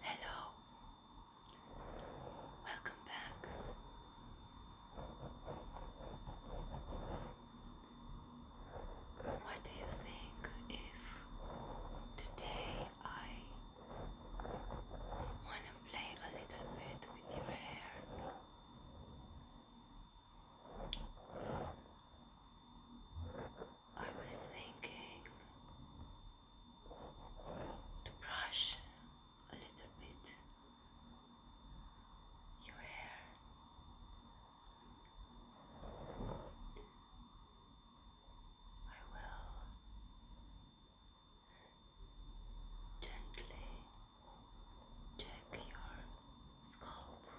Hello, welcome back. What do you think if today I want to play a little bit with your hair? I was thinking to brush a little bit your hair. I will gently check your scalp.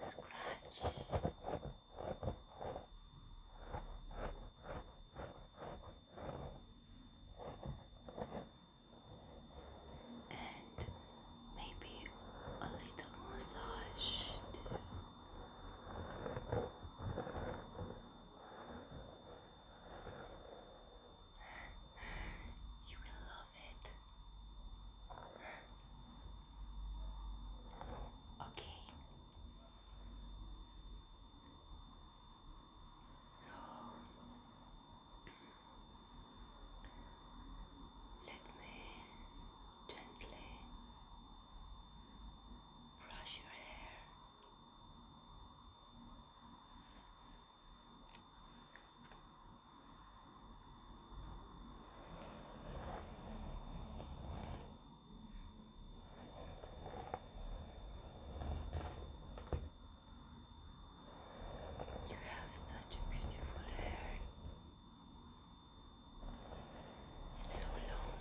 Scratch. And maybe a little massage too. You will love it. Okay. So let me gently brush your hair. You have such a beautiful hair. It's so long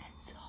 and soft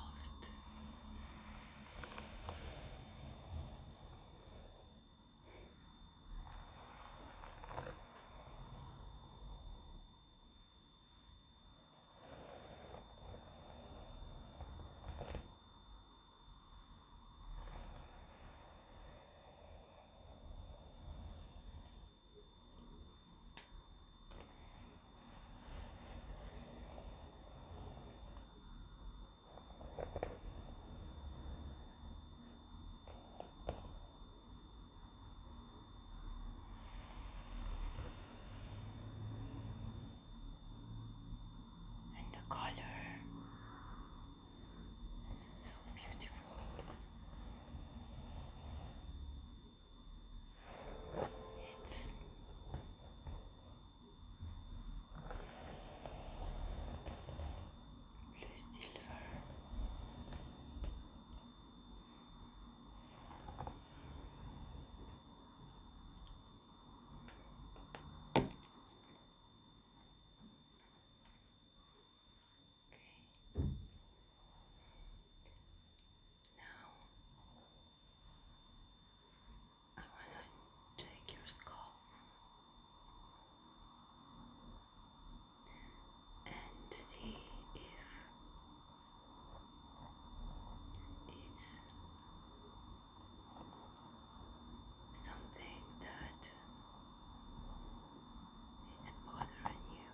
and the color is so beautiful. It's blue silver. Okay. Now I want to take your skull and see if it's something that it's bothering you.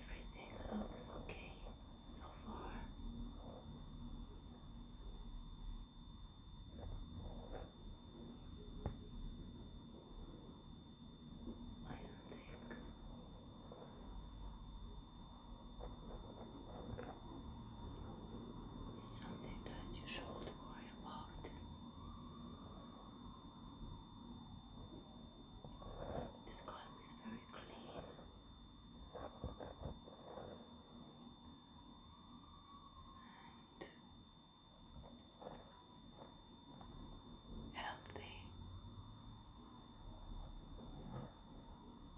Everything looks okay so far. I don't think it's something that you should worry about. This column is very clean. And Healthy.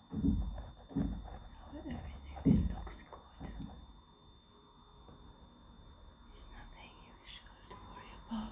So everything looks good. It's nothing you should worry about.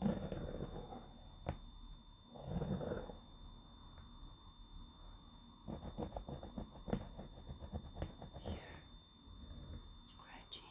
Here, scratchy.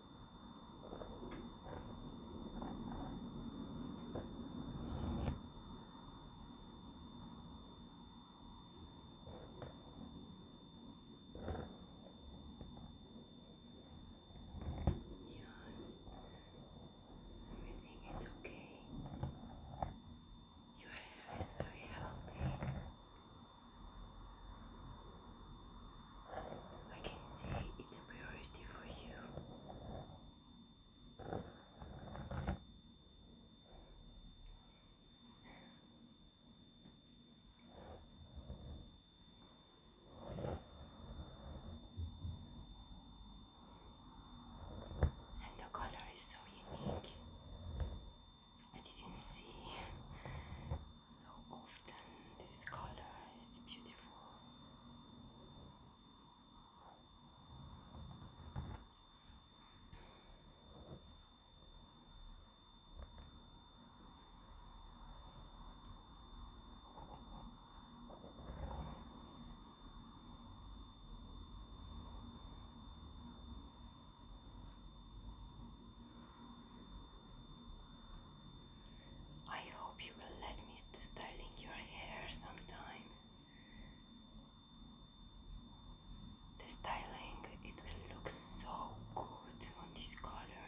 Everything is okay. Your hair is very healthy. I can see it's a priority for you. And the color is so unique. I didn't see so often this color is beautiful. I hope you will let me to styling your hair sometimes. The styling it will look so good on this color.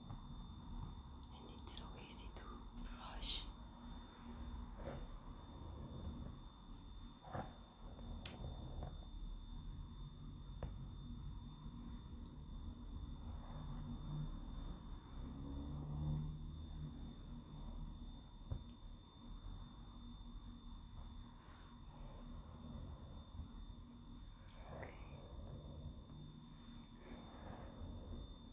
and it's so easy to brush. Okay.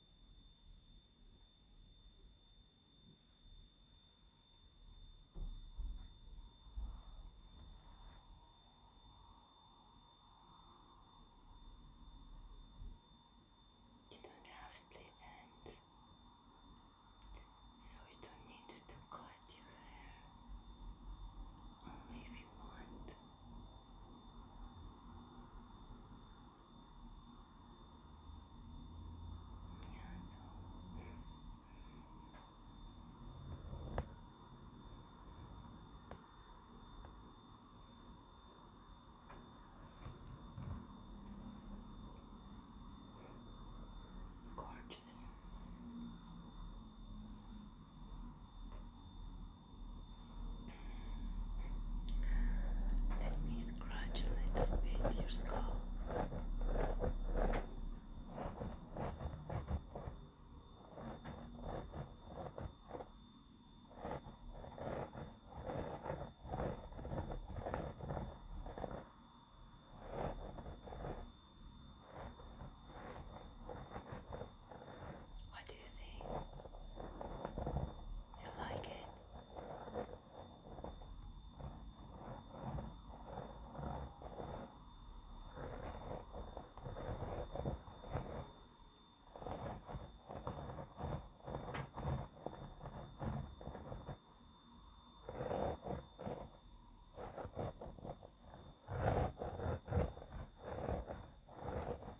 You don't have split ends, so you don't need to cut your hair only if you want. Yeah, so gorgeous. Let me scratch a little bit your scalp. What do you think? You like it?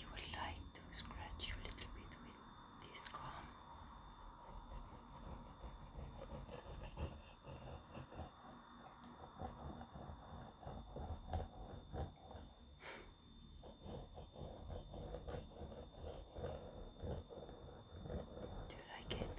you would like to scratch you a little bit with this comb. Do you like it?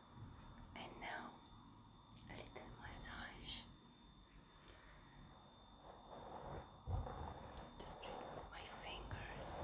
And now a little massage. Just with my fingers.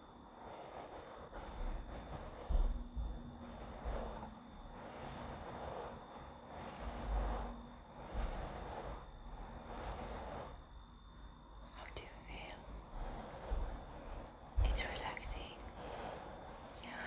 How do you feel? It's relaxing. Yeah.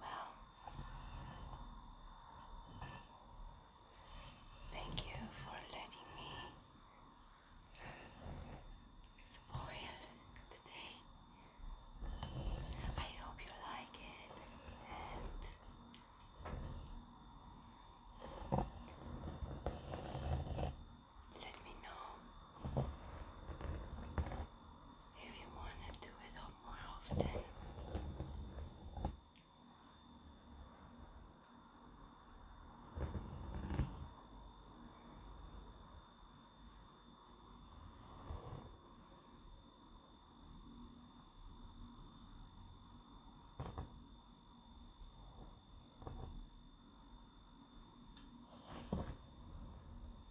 Well, thank you for letting me spoil today. I hope you like it and let me know if you want to do it more often.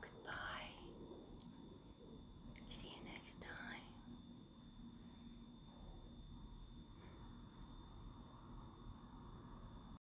Goodbye. See you next time.